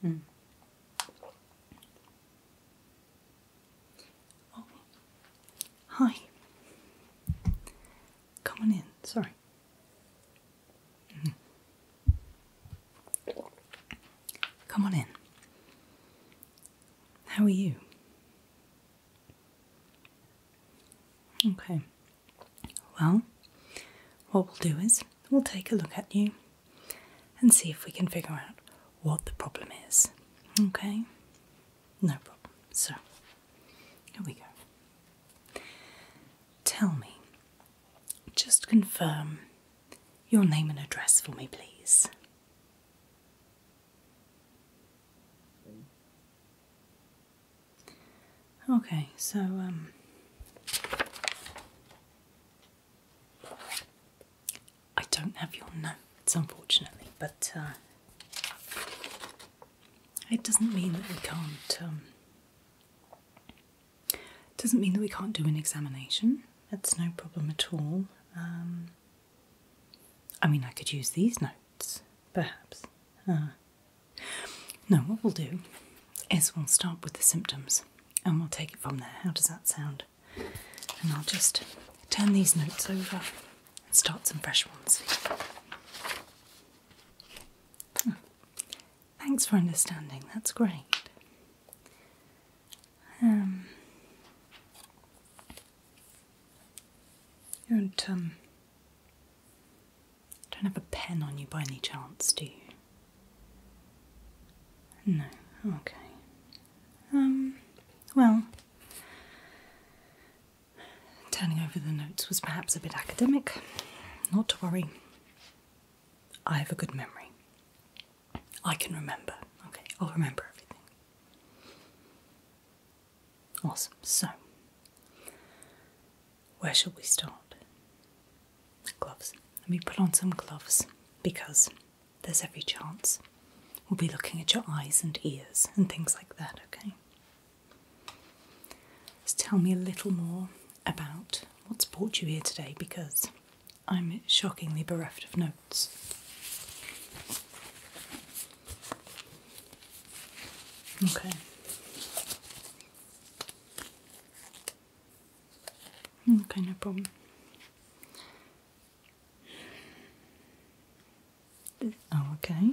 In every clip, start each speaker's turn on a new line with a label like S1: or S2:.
S1: Hmm. Oh. hi. Come on in. Sorry. Hmm. Come on in. How are you? Okay, well, what we'll do is we'll take a look at you and see if we can figure out what the problem is. Okay, no problem. So, here we go. Tell me, just confirm your name and address for me, please. Okay, so um, I don't have your notes, unfortunately, but uh, it doesn't mean that we can't. Um, doesn't mean that we can't do an examination. That's no problem at all. Um, I mean, I could use these notes, perhaps. Ah. no, what we'll do is we'll start with the symptoms and we'll take it from there. How does that sound? And I'll just turn these notes over and start some fresh ones. Hmm. Thanks for understanding, that's great. Um, you don't, um, don't have a pen on you by any chance, do you? No, okay. Um, well, turning over the notes was perhaps a bit academic. Not to worry. I have a good memory. I can remember. Okay, I'll remember everything. Awesome. So, where shall we start? Gloves. Let me put on some gloves because there's every chance we'll be looking at your eyes and ears and things like that, okay? Just tell me a little more about what's brought you here today because I'm shockingly bereft of notes. Okay. Okay, no problem. Oh, okay.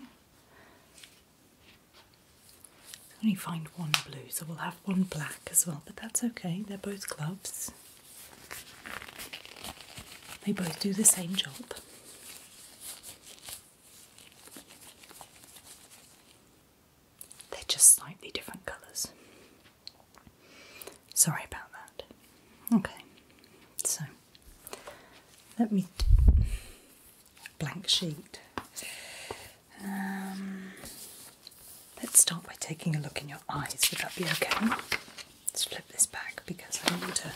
S1: only find one blue, so we'll have one black as well, but that's okay. They're both gloves. They both do the same job. They're just slightly different colours. Sorry about that. Okay, so let me. Blank sheet. Um, let's start by taking a look in your eyes. Would that be okay? Let's flip this back because I don't want to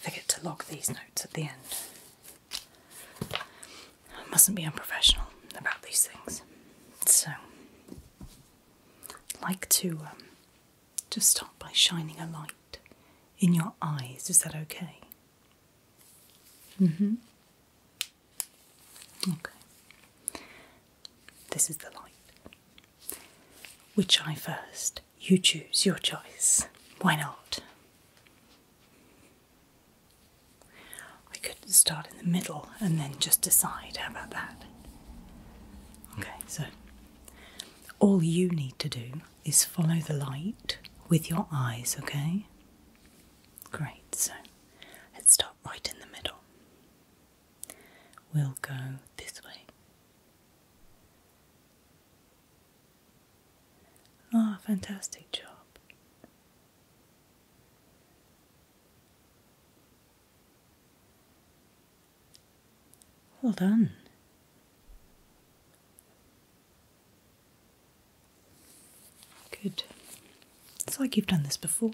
S1: forget to log these notes at the end. I mustn't be unprofessional about these things. So, I'd like to just um, start by shining a light in your eyes. Is that okay? Mm hmm. Okay. This is the light. Which eye first? You choose your choice. Why not? I could start in the middle and then just decide. How about that? Okay, so all you need to do is follow the light with your eyes, okay? Great, so let's start right in the middle. We'll go this way. Ah, fantastic job. Well done. Good. It's like you've done this before.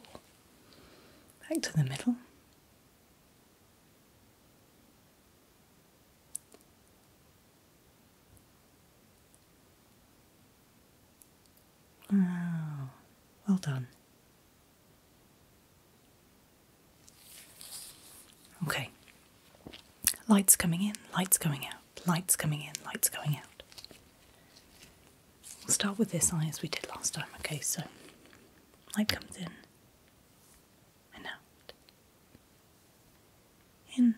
S1: Back to the middle. Wow, well done. Okay. Lights coming in, lights going out, lights coming in, lights going out. We'll start with this eye as we did last time, okay? So, light comes in, and out. In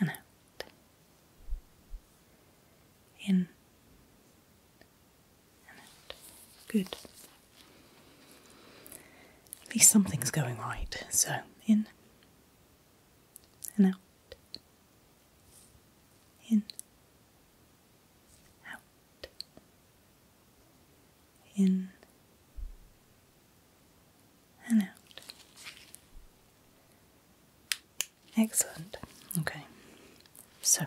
S1: and out. In and out. Good. At least something's going right. So, in and out. In out, in and out. Excellent. Okay, so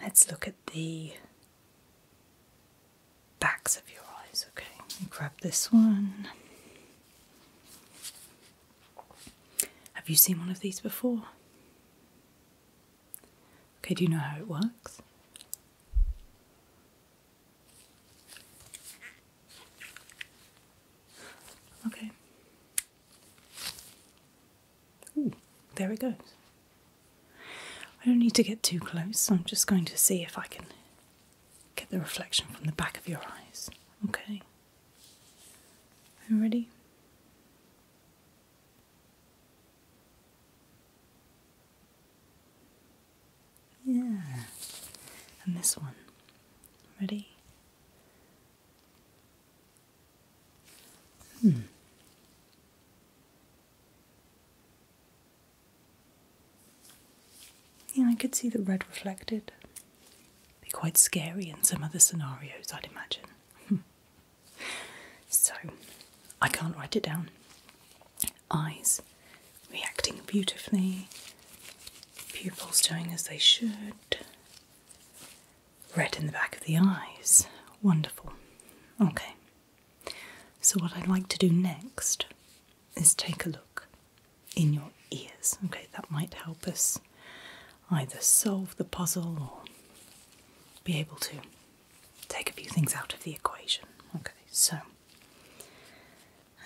S1: let's look at the backs of your eyes. Okay, grab this one. Have you seen one of these before? Okay, do you know how it works? Okay. Ooh, there it goes. I don't need to get too close, I'm just going to see if I can get the reflection from the back of your eyes. Okay i ready. Yeah. And this one. Ready? Hmm. Yeah, I could see the red reflected. Be quite scary in some other scenarios, I'd imagine. so, I can't write it down. Eyes reacting beautifully, pupils doing as they should, red in the back of the eyes. Wonderful. Okay, so what I'd like to do next is take a look in your ears. Okay, that might help us either solve the puzzle or be able to take a few things out of the equation. Okay, so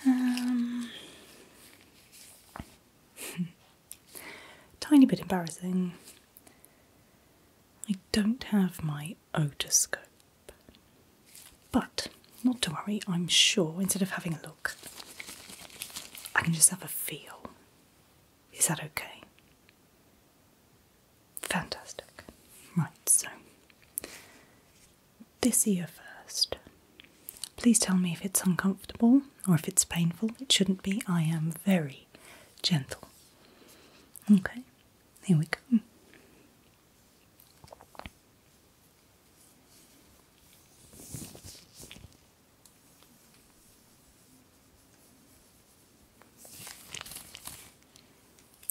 S1: um, tiny bit embarrassing. I don't have my otoscope, but not to worry. I'm sure instead of having a look, I can just have a feel is that okay? Fantastic. Right, so this ear first. Please tell me if it's uncomfortable or if it's painful. It shouldn't be. I am very gentle. Okay, here we go.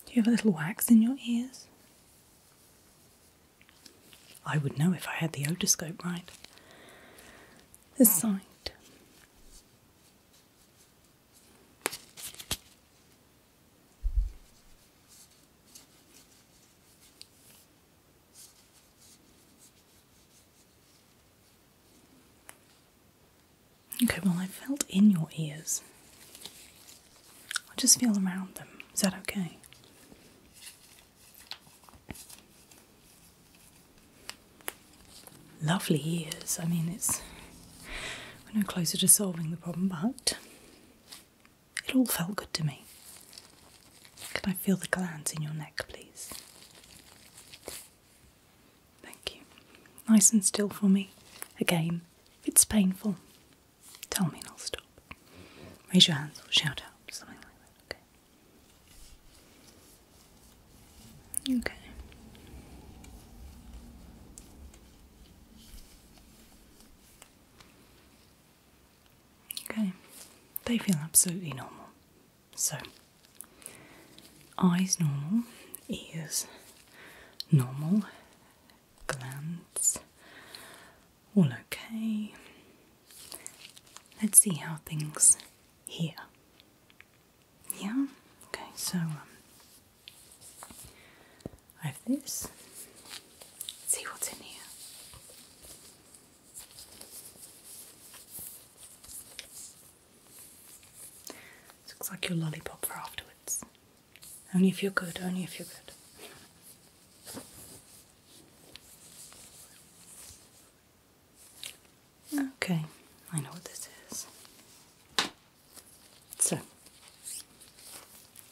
S1: Do you have a little wax in your ears? I would know if I had the otoscope right. This side. Okay, well, I felt in your ears. i just feel around them. Is that okay? Lovely ears. I mean, it's. We're no closer to solving the problem, but it all felt good to me. Can I feel the glands in your neck, please? Thank you. Nice and still for me. Again, if it's painful, tell me and I'll stop. Raise your hands or shout out, something like that, okay? Okay. Okay, they feel absolutely normal. So, eyes normal, ears normal, glands all okay. Let's see how things here. Yeah, okay, so um, I have this. Let's see what's in here. This looks like your lollipop for afterwards. Only if you're good, only if you're good. Okay, I know what this is. So,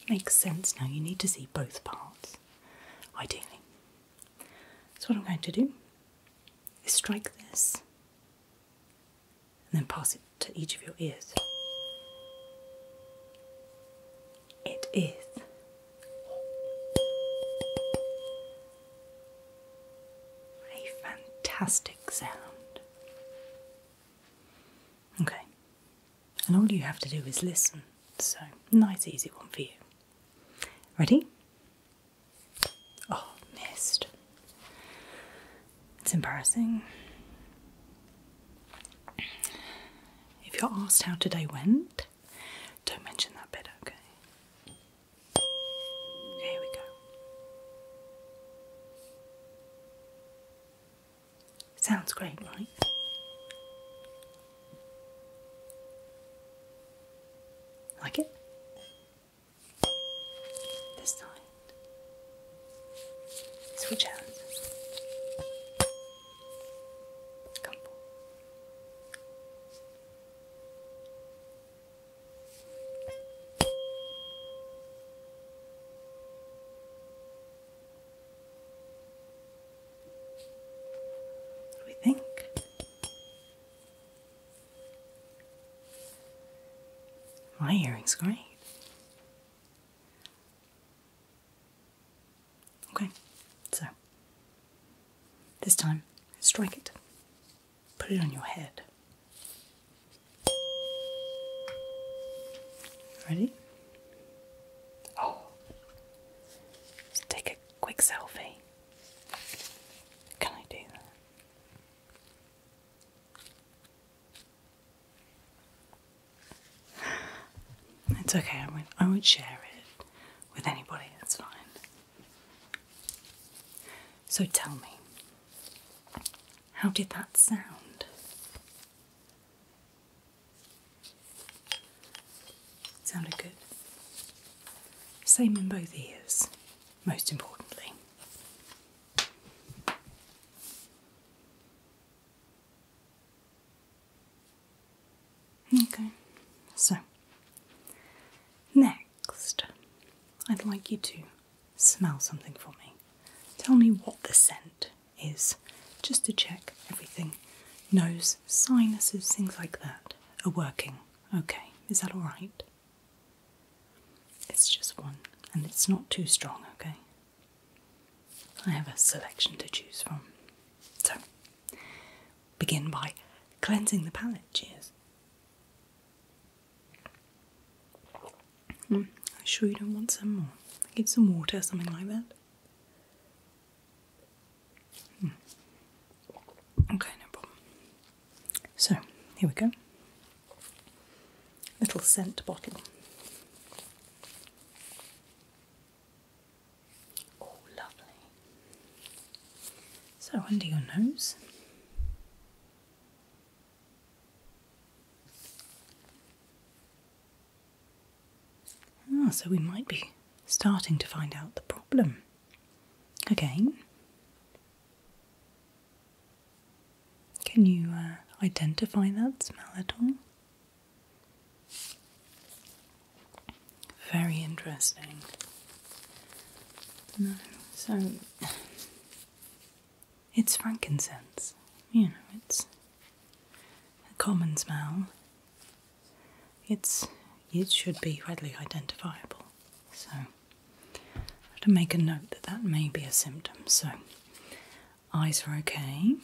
S1: makes sense now. You need to see both parts, ideally. So, what I'm going to do is strike this and then pass it to each of your ears. It is a fantastic sound. Okay, and all you have to do is listen. So, nice, easy one for you. Ready? Oh, missed. It's embarrassing. If you're asked how today went, don't mention that bit, okay? Here we go. Sounds great, right? Like it? This side. Switch out. Come forward. We think. My earring's great. Okay, so this time strike it, put it on your head. Ready? Oh, let's take a quick selfie. Can I do that? It's okay. I won't. I won't share it with anybody. That's fine. So tell me, how did that sound? Sounded good. Same in both ears, most importantly. Okay, so next, I'd like you to smell something for me. Tell me what the scent is just to check everything nose, sinuses, things like that are working. Okay, is that alright? It's just one and it's not too strong, okay? I have a selection to choose from. So, begin by cleansing the palate. Cheers. Mm, I'm sure you don't want some more. Give some water, something like that. Hmm. Okay, no problem. So, here we go. Little scent bottle. Oh, lovely. So, under your nose. Ah, so we might be starting to find out the problem. Again, can you uh, identify that smell at all? Very interesting. No, so it's frankincense. You know, it's a common smell it's it should be readily identifiable. So I have to make a note that that may be a symptom. So eyes are okay,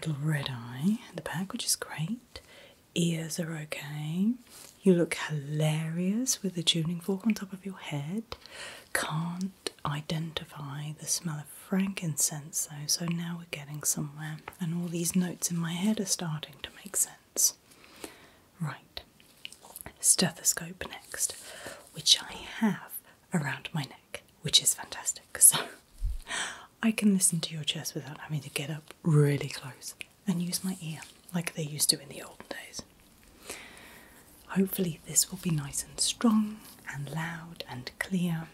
S1: little red eye at the back, which is great. Ears are okay. You look hilarious with the tuning fork on top of your head. Can't identify the smell of frankincense, though, so now we're getting somewhere, and all these notes in my head are starting to make sense. Right, stethoscope next, which I have around my neck, which is fantastic, so I can listen to your chest without having to get up really close and use my ear like they used to in the olden days. Hopefully, this will be nice and strong and loud and clear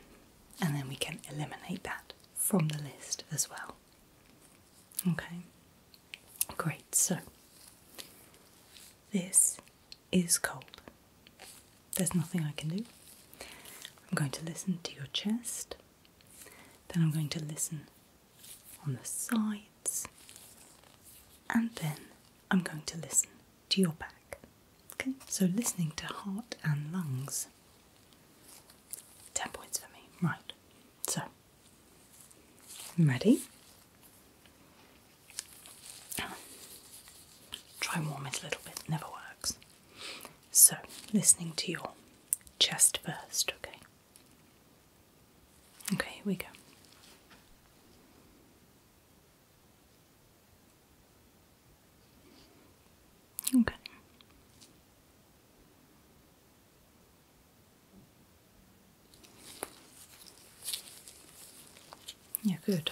S1: and then we can eliminate that from the list as well. Okay, great. So this is cold. There's nothing I can do. I'm going to listen to your chest, then I'm going to listen on the sides, and then I'm going to listen to your back. Okay, so listening to heart and lungs. 10 points for me. Right, so ready? Try and warm it a little bit, never works. So, listening to your chest first, okay? Okay, here we go. Okay. Yeah, good.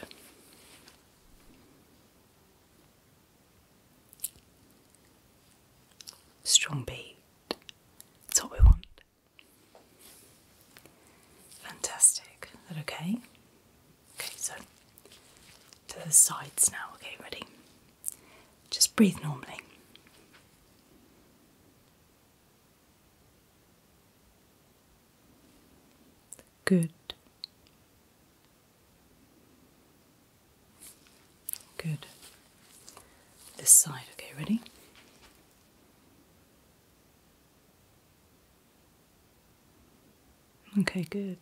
S1: Strong beat. That's what we want. Fantastic. Is that okay? Okay, so to the sides now. Okay, ready? Just breathe normally. Good. Good. This side, okay, ready? Okay, good.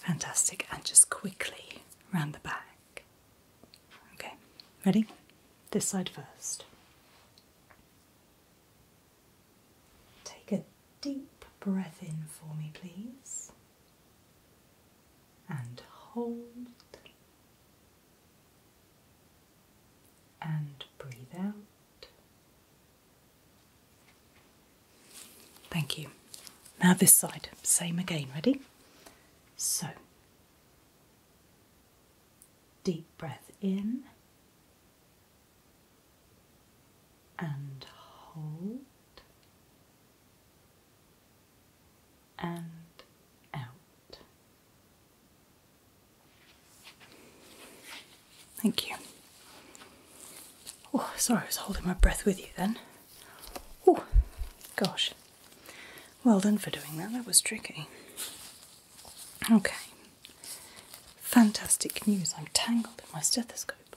S1: Fantastic. And just quickly round the back. Okay, ready? This side first. Take a deep breath in for me, please and hold and breathe out. Thank you. Now, this side, same again. Ready? So, deep breath in and hold and out. Thank you. Oh, sorry, I was holding my breath with you then. Oh, gosh. Well done for doing that, that was tricky. Okay. Fantastic news. I'm tangled in my stethoscope.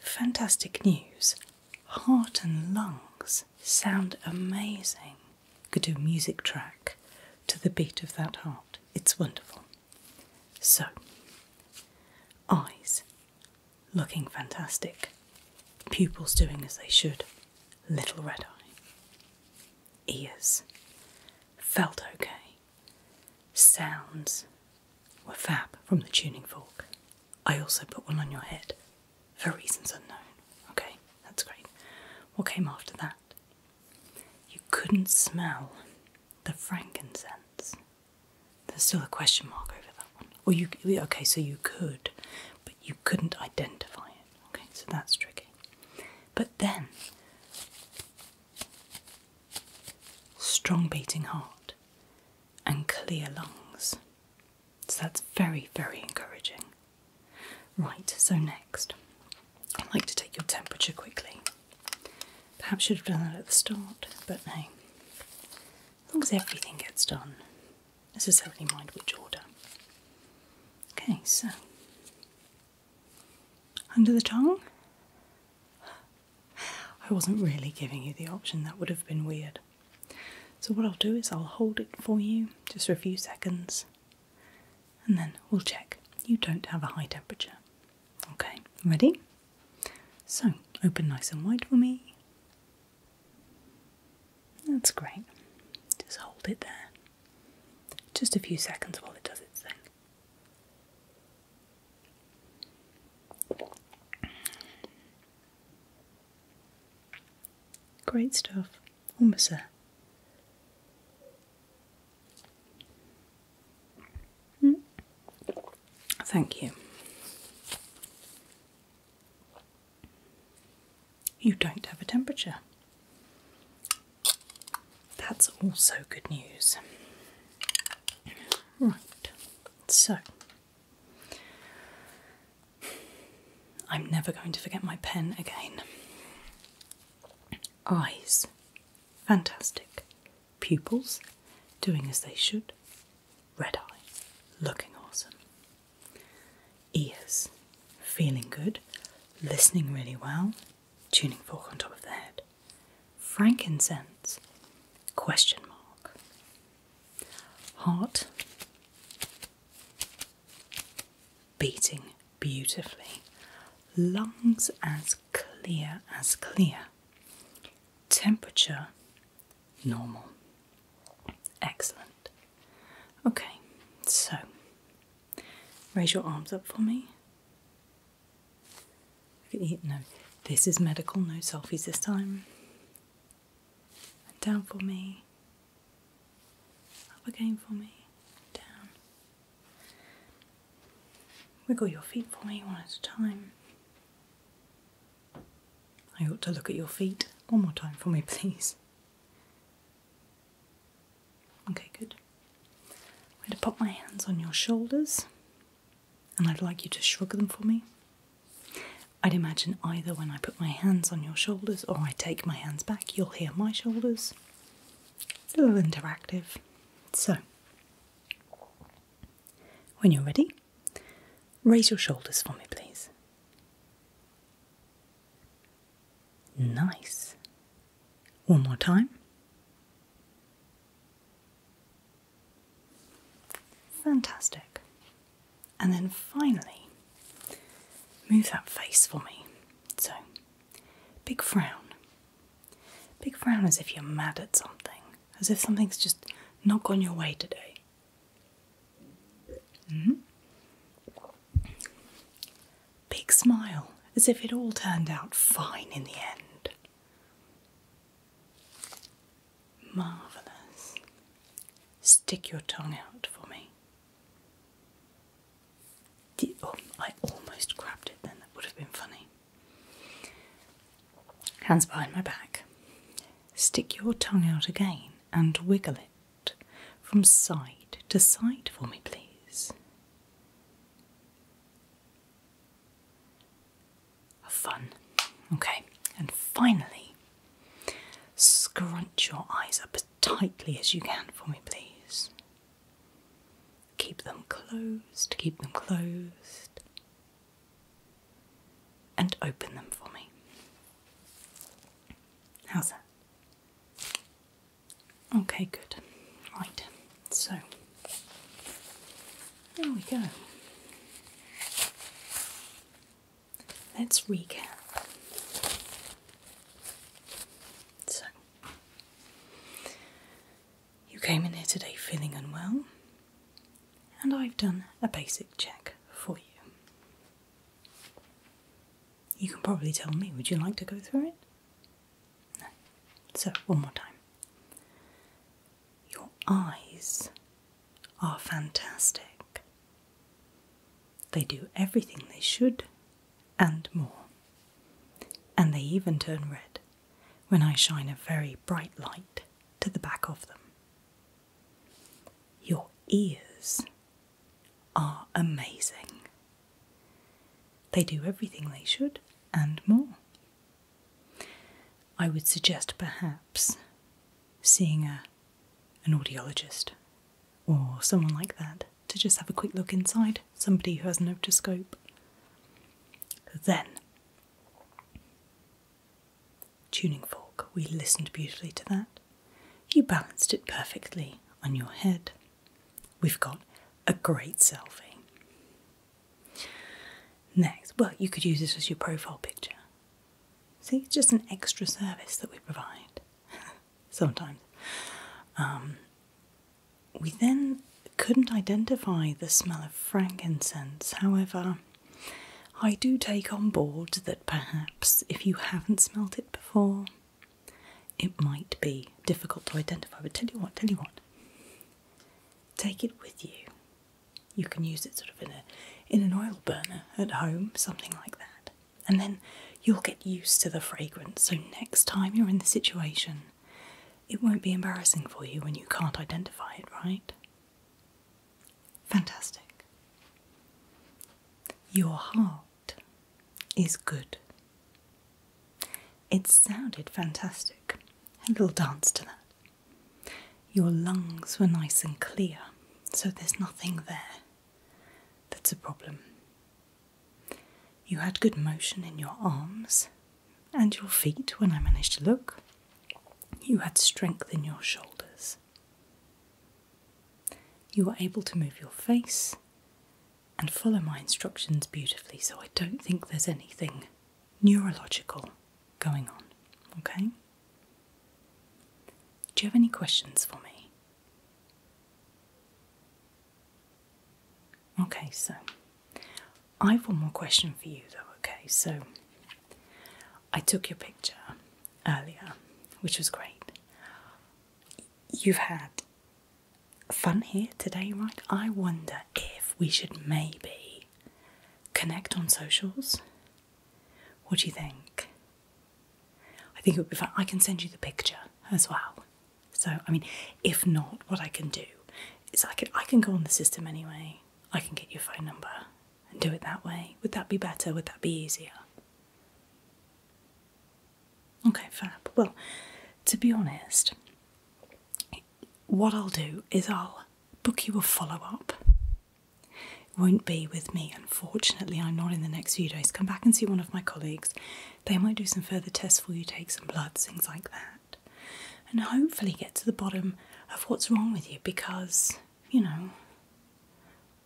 S1: Fantastic news. Heart and lungs sound amazing. Could do a music track to the beat of that heart. It's wonderful. So, eyes looking fantastic, pupils doing as they should, little red eye. Ears felt okay, sounds were fab from the tuning fork. I also put one on your head for reasons unknown. Okay, that's great. What came after that? You couldn't smell the frankincense. There's still a question mark over that one. Or you okay, so you could, but you couldn't identify it. Okay, so that's tricky. But then strong beating heart and clear lungs. So that's very, very encouraging. Right, so next, I'd like to take your temperature quickly. Perhaps should have done that at the start, but no. As long as everything gets done, necessarily mind which order. Okay, so under the tongue. I wasn't really giving you the option, that would have been weird. So, what I'll do is I'll hold it for you just for a few seconds and then we'll check you don't have a high temperature. Okay, ready? So, open nice and wide for me. That's great. Just hold it there. Just a few seconds while it does its thing. Great stuff. Almost there. Hmm. Thank you. You don't have a temperature. That's also good news. Right, so I'm never going to forget my pen again. Eyes. Fantastic. Pupils. Doing as they should. Red eyes, Looking awesome. Ears. Feeling good. Listening really well. Tuning fork on top of the head. Frankincense. Question mark. Heart beating beautifully, lungs as clear as clear, temperature normal. Excellent. Okay, so raise your arms up for me. No, this is medical, no selfies this time and down for me, up again for me, down. Wiggle your feet for me one at a time. I ought to look at your feet one more time for me, please. Okay, good. I'm going to pop my hands on your shoulders and I'd like you to shrug them for me. I'd imagine either when I put my hands on your shoulders or I take my hands back, you'll hear my shoulders. A little interactive. So, when you're ready, raise your shoulders for me, please. Nice. One more time. Fantastic. And then finally, move that face for me. So, big frown. Big frown as if you're mad at something, as if something's just not gone your way today. Mm -hmm. Big smile, as if it all turned out fine in the end. Marvellous. Stick your tongue out for me. Oh, I almost grabbed it then, that would have been funny. Hands behind my back. Stick your tongue out again and wiggle it from side to side for me, please of fun. Okay, and finally, scrunch your eyes up as tightly as you can for me, please. Keep them closed, keep them closed, and open them for me. How's that? Okay, good. Right, so there we go. Let's recap. So, you came in here today feeling unwell, and I've done a basic check for you. You can probably tell me, would you like to go through it? No. So, one more time. Your eyes are fantastic. They do everything they should and more. And they even turn red when I shine a very bright light to the back of them. Your ears are amazing. They do everything they should and more. I would suggest perhaps seeing a, an audiologist or someone like that to just have a quick look inside, somebody who has an otoscope. Then, tuning fork, we listened beautifully to that. You balanced it perfectly on your head. We've got a great selfie. Next, well, you could use this as your profile picture. See, it's just an extra service that we provide sometimes. Um, we then couldn't identify the smell of frankincense. However, I do take on board that perhaps if you haven't smelt it before, it might be difficult to identify. But tell you what, tell you what, take it with you you can use it sort of in a in an oil burner at home, something like that. And then you'll get used to the fragrance. So next time you're in the situation, it won't be embarrassing for you when you can't identify it, right? Fantastic. Your heart is good. It sounded fantastic. A little dance to that. Your lungs were nice and clear, so there's nothing there that's a problem. You had good motion in your arms and your feet when I managed to look. You had strength in your shoulders. You were able to move your face and follow my instructions beautifully, so I don't think there's anything neurological going on. Okay? Do you have any questions for me? Okay, so I have one more question for you though, okay? So I took your picture earlier, which was great. You've had fun here today, right? I wonder if we should maybe connect on socials. What do you think? I think it would be fine. I can send you the picture as well. So, I mean, if not, what I can do is I can, I can go on the system anyway. I can get your phone number and do it that way. Would that be better? Would that be easier? Okay, fab. Well, to be honest, what I'll do is I'll book you a follow up. It won't be with me, unfortunately. I'm not in the next few days. Come back and see one of my colleagues. They might do some further tests for you, take some bloods, things like that, and hopefully get to the bottom of what's wrong with you because, you know,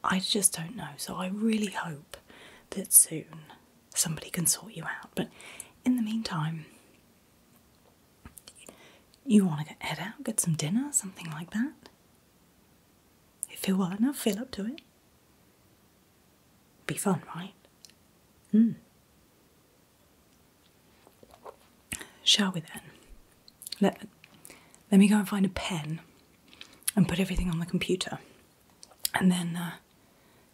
S1: I just don't know. So I really hope that soon somebody can sort you out. But in the meantime, you want to head out, get some dinner, something like that? If you well enough, feel up to it. Be fun, right? Hmm. Shall we then? Let, let me go and find a pen and put everything on the computer. And then, uh,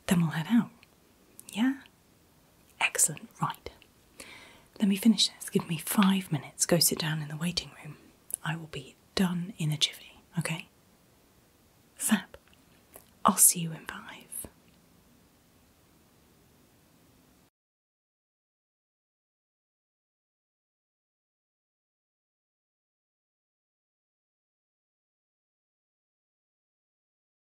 S1: then we'll head out. Yeah? Excellent, right. Let me finish this. Give me five minutes. Go sit down in the waiting room. I will be done in a jiffy, okay? Fab. I'll see you in five.